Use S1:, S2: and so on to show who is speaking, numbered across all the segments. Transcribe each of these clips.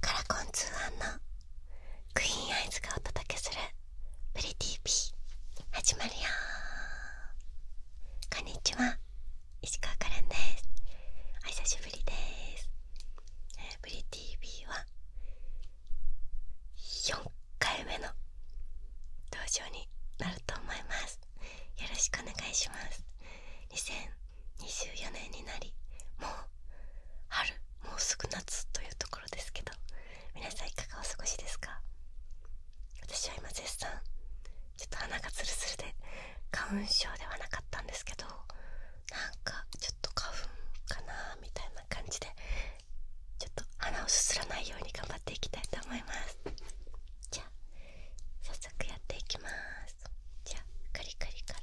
S1: カラコン通販のクイーンアイズがお届けする「ブリ TV ービー」始まるよこんにちは石川カレンですお久しぶりです「ブリ TV は4回目の登場になると思いますよろしくお願いします2023 24年になりもう春もうすぐ夏というところですけど皆さんいかがお過ごしですか私は今絶賛ちょっと鼻がツルツルで花粉症ではなかったんですけどなんかちょっと花粉かなみたいな感じでちょっと鼻をすすらないように頑張っていきたいと思いますじゃあ早速やっていきますますじゃあカリカリから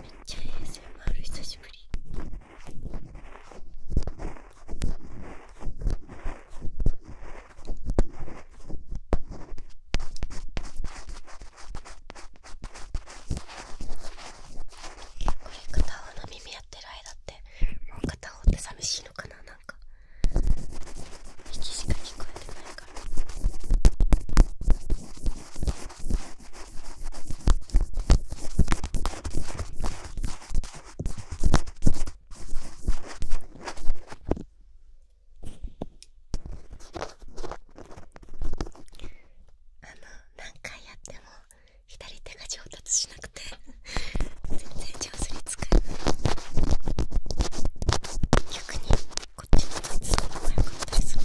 S1: めっちゃ a もある久しぶりれ片方の耳やってる間ってもう片方って寂しいのかななんか息しか聞こえてないからあの何回やっても左手が上達しなくて全然上手に使えない逆にこっちの手使うのが良かったりする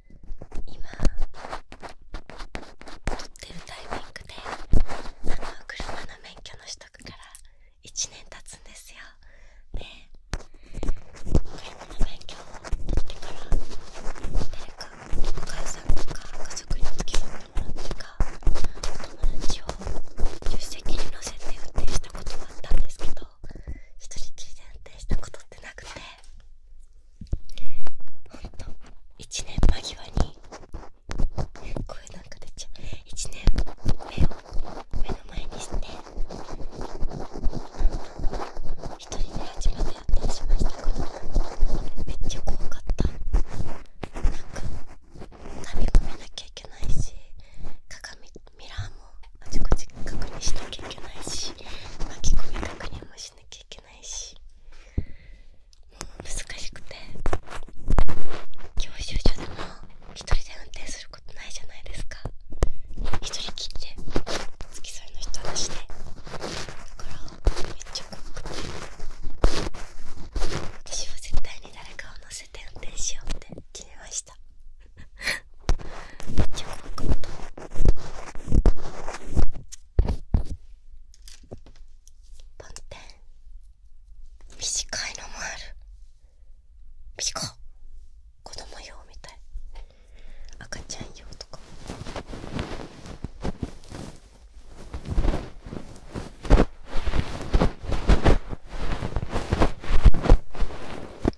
S1: 今撮ってるタイミングであの車の免許の取得から1年経つんですよで車の免許を取ってから誰かお母さんとか家族に付き添ってもらってか友達を助手席に乗せて運転したこともあったんですけど一人きりで運転したことってなくて。ほんと1年間際に声なんか出ちゃう1年目を目の前にして1人で初めてやったりしましたけど、めっちゃ怖かったなんか髪込めなきゃいけないし鏡ミラーもあちこち確認しなきゃいけないし巻き込み確認もしなきゃいけないしもう難しくて教習所でも1人で運転することないじゃないですか1人きって付き添いの人なしでだからめっちゃ怖く私は絶対に誰かを乗せて運転しようって決めました中国語と本編短いのもある短っ子供用みたい赤ちゃん用とか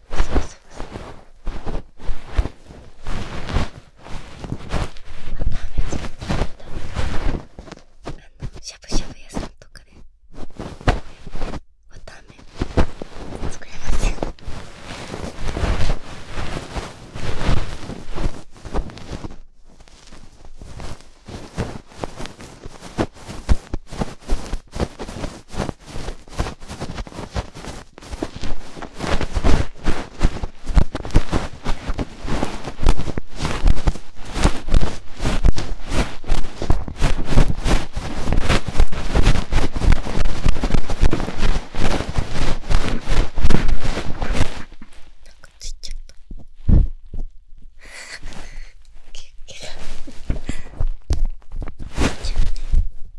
S1: あ、のしゃぶしゃぶ屋さんとかでわたあめ作れますよあなんかついちゃった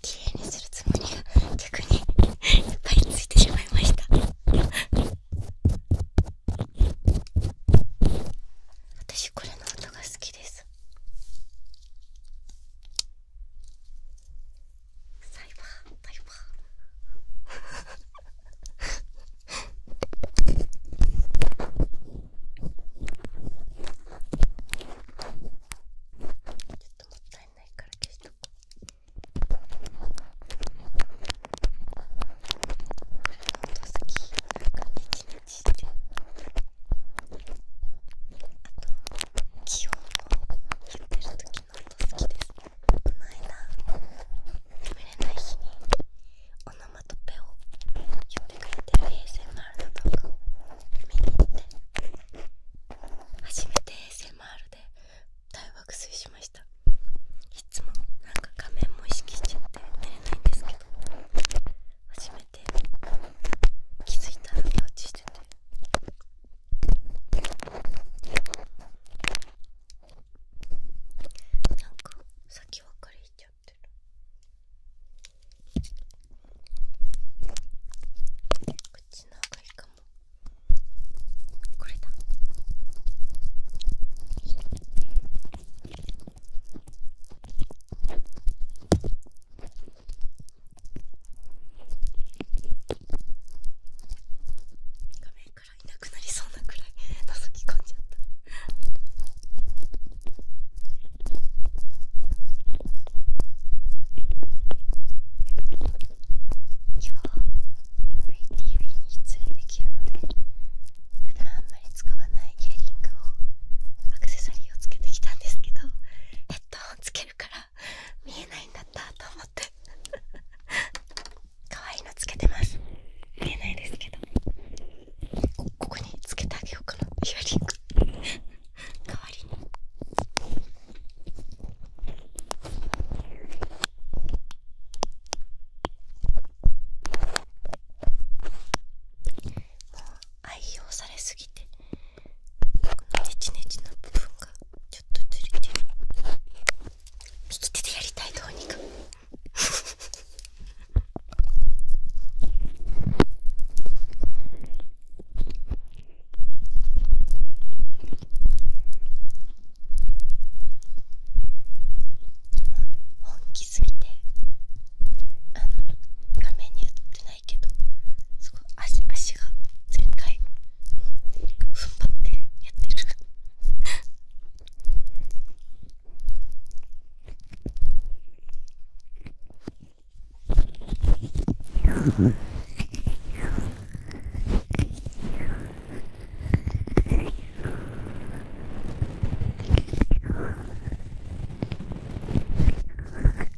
S1: 綺麗にするつもりが逆にいっぱいついてしまいました私これの音が好きですサイバーサイバーちょっともったいないから消しとこあ好と気き好きですこの間眠れない日におノマトペを呼んでくれてる ASMR の動画を見に行って初めて ASMR で大爆睡しましたいつもなんか画面も意識しちゃって寝れないんですけど初めて気づいたら寝落ちしててなんか先分かりしちゃってる口っの方いいかもこれだ画面からいなくなりそうなくらい覗き込んじゃった今日 VTV に出演できるので普段あんまり使わないイヤリングをアクセサリーをつけてきたんですけどヘッドをつけるから見えないんだったと思って 可愛いのつけてます見えないですけどここにつけてあげようかなイヤリング代わりにもう愛用されすぎてこのネチネチの部分がちょっとずれてる右手でやりたいどうにか本気すぎてあの画面に映ってない。けど足が全開踏ん張ってやってる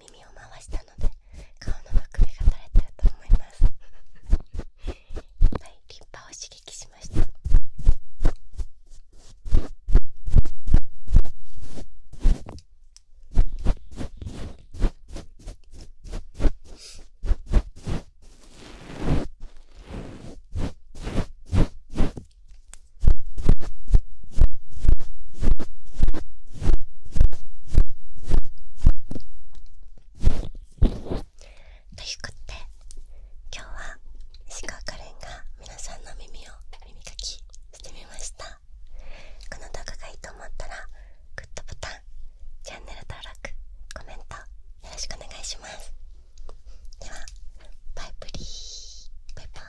S1: 耳を回したので顔のむくみが取れてると思いますはい立派を刺激しましたはいということで今日は石川カレンが皆さんの耳を耳かきしてみましたこの動画がいいと思ったらグッドボタンチャンネル登録コメントよろしくお願いしますではバイブリーバイバイ